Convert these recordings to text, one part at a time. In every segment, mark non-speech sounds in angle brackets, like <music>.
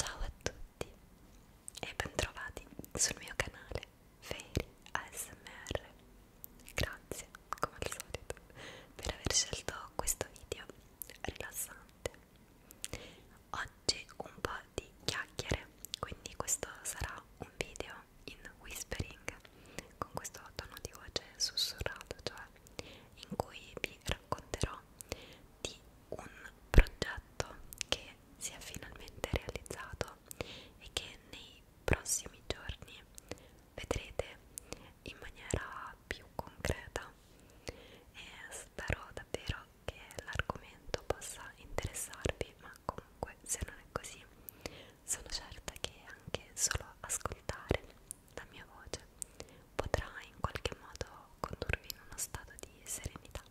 Ciao a tutti e bentrovati sul mio canale Fairy ASMR. Grazie, come al solito, per aver scelto questo video rilassante. Oggi un po' di chiacchiere, quindi questo sarà un video in whispering con questo tono di voce sussurrato, cioè in cui vi racconterò di un progetto che si è finalmente realizzato e che nei prossimi giorni vedrete in maniera più concreta e spero davvero che l'argomento possa interessarvi ma comunque se non è così sono certa che anche solo ascoltare la mia voce potrà in qualche modo condurvi in uno stato di serenità.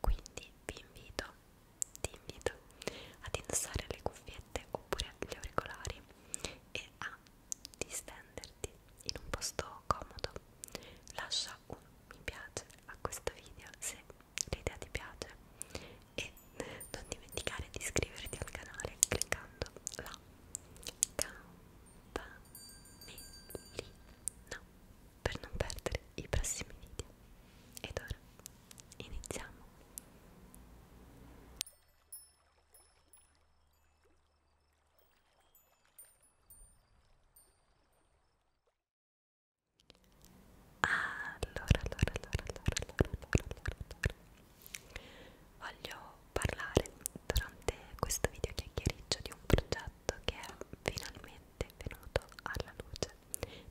Quindi vi invito, ti invito ad indossare le cuffiette oppure gli auricolari e a distenderti in un posto comodo. Lascia un mi piace a questo video se l'idea ti piace e non dimenticare di iscriverti al canale cliccando là. Ciao! campanellina per non perdere i prossimi video. Ed ora iniziamo. Allora, allora, allora, allora, allora, allora, allora, allora. voglio parlare durante questo video chiacchiericcio di un progetto che è finalmente venuto alla luce.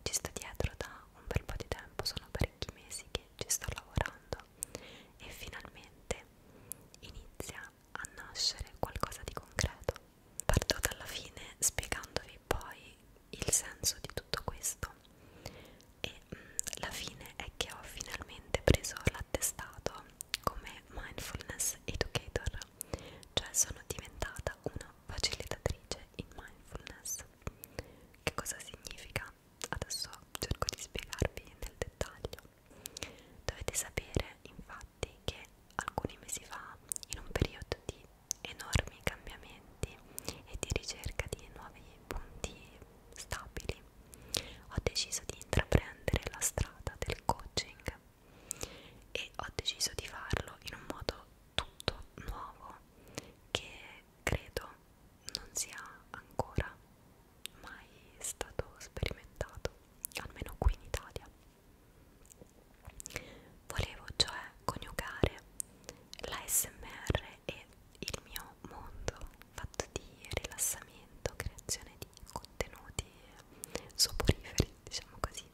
Ci sto dietro da un bel po' di tempo, sono parecchi mesi che ci sto lavorando e finalmente inizia a nascere qualcosa di concreto. Parto dalla fine spiegandovi poi il senso di tutto questo e mh, mm, la fine è che ho finalmente preso la attestato come mindfulness educator, cioè sono diventata una facilitatrice in mindfulness. Che cosa significa? Adesso cerco di spiegarvi nel dettaglio. Dovete sapere infatti che alcuni mesi fa, in un periodo di enormi cambiamenti e di ricerca di nuovi punti stabili ho deciso di intraprendere la strada del coaching e ho deciso di farlo in un modo tutto nuovo che credo non sia ancora mai stato sperimentato, almeno qui in Italia. Volevo cioè coniugare la SMR e il mio mondo fatto di rilassamento, creazione di contenuti soporiferi, diciamo così,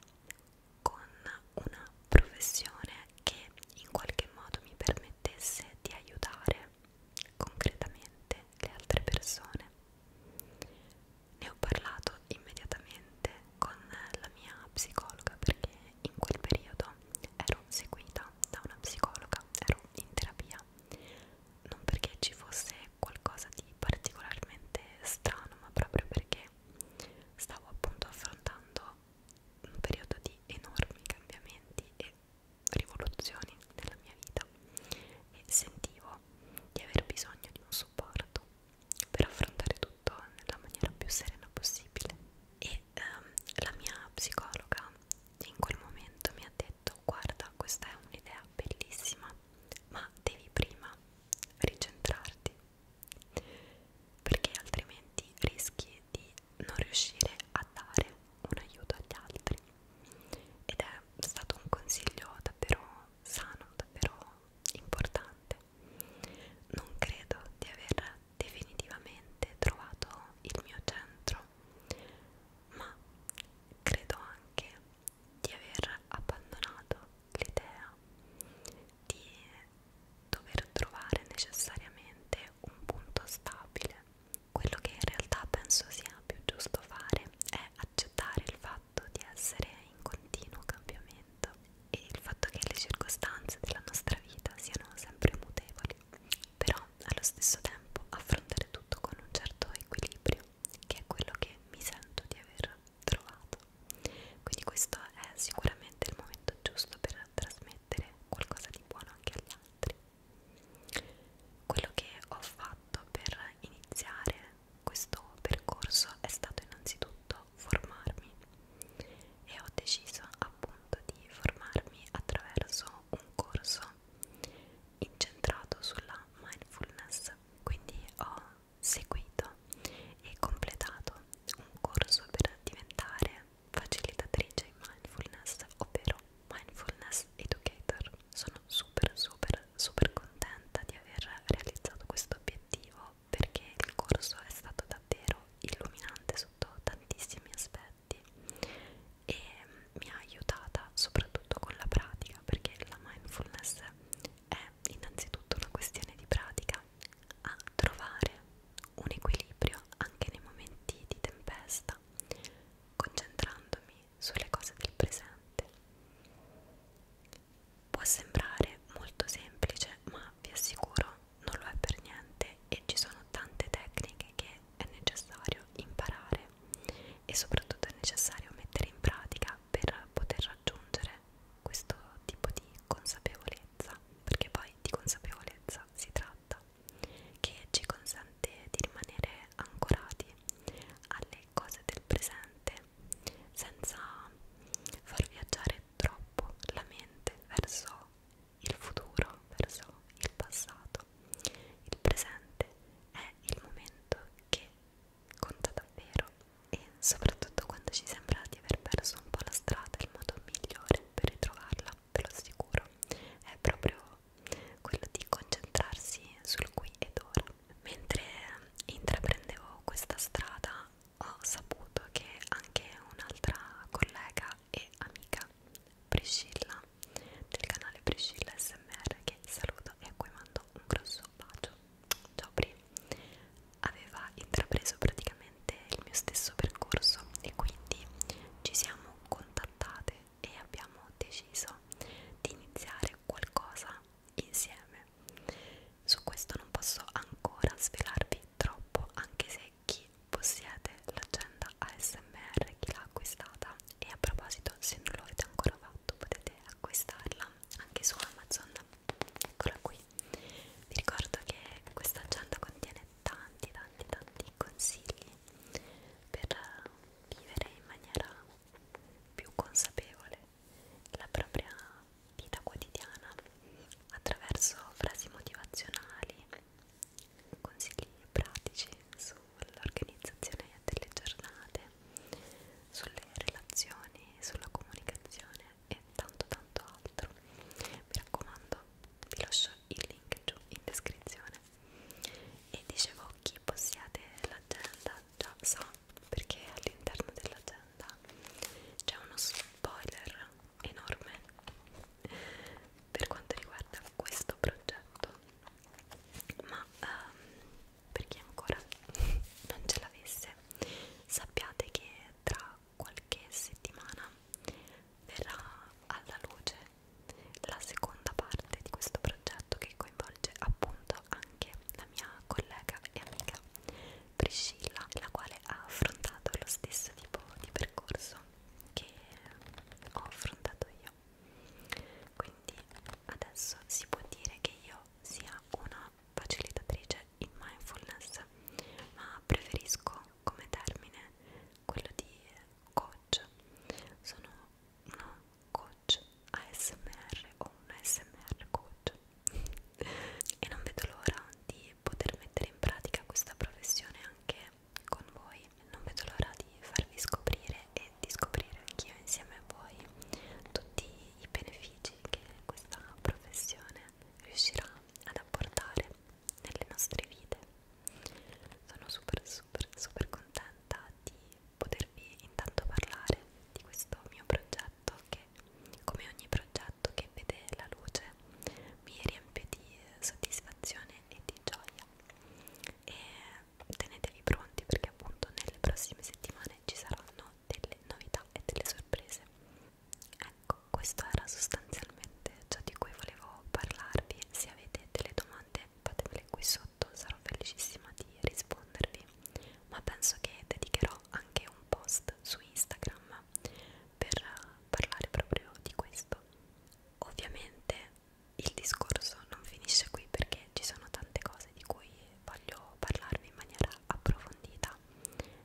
con una professione che in qualche modo mi permettesse di aiutare concretamente le altre persone. Ne ho parlato immediatamente con la mia psicologa perché in quel periodo ero seguita da una psicologa, ero in terapia non perché ci fosse qualcosa di particolarmente strano, ma proprio perché stavo appunto affrontando un periodo di enormi cambiamenti e rivoluzioni nella mia vita e sentivo di aver bisogno di un supporto per affrontare tutto nella maniera più serena possibile e ehm, la mia psicologa in quel momento mi ha detto guarda questa è un'idea bellissima ma devi prima ricentrarti perché altrimenti rischi di non riuscire a dare un aiuto agli altri ed è stato un consiglio davvero sano, davvero importante. Non credo di aver definitivamente trovato il mio centro, ma credo anche di aver abbandonato l'idea di dover trovare necessariamente un punto stabile. Quello che in realtà penso sia più giusto fare è accettare il fatto di essere in continuo cambiamento e il fatto che le circostanze della nostra vita siano sempre mutevoli, però allo stesso tempo affrontare tutto con un certo equilibrio che è quello che mi sento di aver trovato quindi questo è sicuramente il momento giusto per trasmettere qualcosa di buono anche agli altri quello che ho fatto per iniziare questo percorso è stato innanzitutto formarmi e ho deciso appunto di formarmi attraverso un corso incentrato sulla mindfulness quindi ho seguito e completato un corso per diventare facilitatrice in mindfulness ovvero mindfulness educator sono super super super contenta di aver realizzato questo obiettivo perché il corso è stato davvero illuminante sotto tantissimi aspetti e mi ha aiutata soprattutto con la pratica perché la mindfulness è innanzitutto una questione di pratica a trovare un equilibrio anche nei momenti di tempesta concentrandomi sulle cose del presente può sembrare molto semplice ma vi assicuro non lo è per niente e ci sono tante tecniche che è necessario imparare e soprattutto è necessario mettere in pratica per poter raggiungere questo tipo di consapevolezza, perché poi di consapevolezza si tratta, che ci consente di rimanere ancorati alle cose del presente senza far viaggiare troppo la mente verso il futuro, verso il passato. Il presente è il momento che conta davvero e soprattutto quando ci sembra di aver perso un po' la strada, il modo migliore per ritrovarla, ve lo assicuro, è proprio quello di concentrarsi sul qui ed ora. Mentre intraprendevo questa strada ho saputo che anche un'altra collega e amica, Priscilla, Priscilla del canale Priscilla SMR che saluto e a cui mando un grosso bacio ciao Pri aveva intrapreso praticamente il mio stesso percorso e quindi ci siamo contattate e abbiamo deciso di iniziare qualcosa insieme su questo non posso ancora svelarvi troppo anche se chi possiede l'agenda ASMR chi l'ha acquistata e a proposito se non lo avete ancora fatto potete potete acquistarla anche su Amazon eccola qui vi ricordo che questa agenda contiene tanti tanti tanti consigli per vivere in maniera più consapevole la propria vita quotidiana attraverso frasi motivazionali consigli pratici su sull'organizzazione delle giornate, sulle relazioni, sulla comunicazione e tanto tanto altro. Mi raccomando, vi lascio il link giù in descrizione. E dicevo, chi possiede l'agenda già sa perché all'interno dell'agenda c'è uno spoiler enorme per quanto riguarda questo progetto ma um, per chi ancora <laughs> non ce l'avesse sappiate che tra qualche settimana verrà alla luce la seconda parte di questo progetto che coinvolge appunto anche la mia collega e amica Priscilla la quale ha affrontato lo stesso tipo di percorso che ho affrontato io io quindi adesso si può dire che io sia una facilitatrice in mindfulness ma preferisco come termine quello di coach sono una coach ASMR o un ASMR coach e non vedo l'ora di poter mettere in pratica questa professione anche con voi non vedo l'ora di farvi scoprire e di scoprire anch'io insieme a voi tutti i benefici che questa professione riuscirà ad apportare nelle nostre vite. Sono super super super contenta di potervi intanto parlare di questo mio progetto che come ogni progetto che vede la luce mi riempie di soddisfazione e di gioia e tenetevi pronti perché appunto nelle prossime settimane ci saranno delle novità e delle sorprese ecco questo era sostanzialmente ciò di cui volevo parlarvi se avete delle domande fatemele qui sotto sarò felicissima di rispondervi ma penso che dedicherò anche un post su Instagram per parlare proprio di questo ovviamente il discorso non finisce qui perché ci sono tante cose di cui voglio parlarvi in maniera approfondita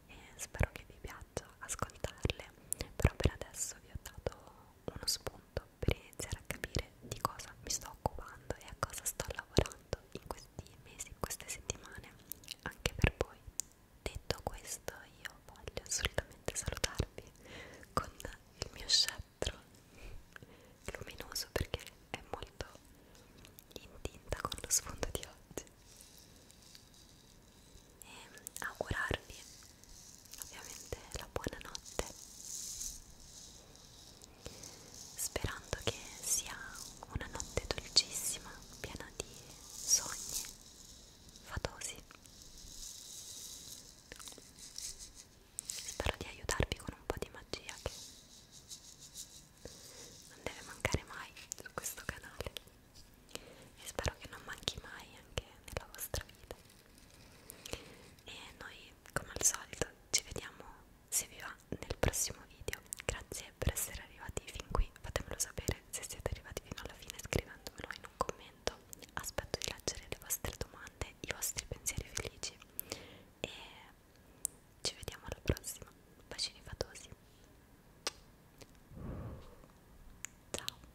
e spero che vi piaccia ascoltarle, però per adesso vi ho dato uno spunto per iniziare a capire di cosa mi sto occupando e a cosa sto lavorando in questi mesi, in queste settimane, anche per voi. Detto questo, io voglio assolutamente salutarvi con il mio chef quattro luminoso perché è molto in tinta con lo sfondo di oggi e ehm, augurarvi ovviamente la buonanotte sperando che sia una notte dolcissima piena di sogni fatosi spero di aiutarvi con un po' di magia che non deve mancare mai su questo canale e spero che non manchi mai anche nella vostra vita e noi come al solito ci vediamo se vi va nel prossimo video grazie per essere arrivati fin qui fatemelo sapere se siete arrivati fino alla fine scrivendomelo in un commento aspetto di leggere le vostre domande i vostri pensieri felici e ci vediamo alla prossima bacini fatosi ciao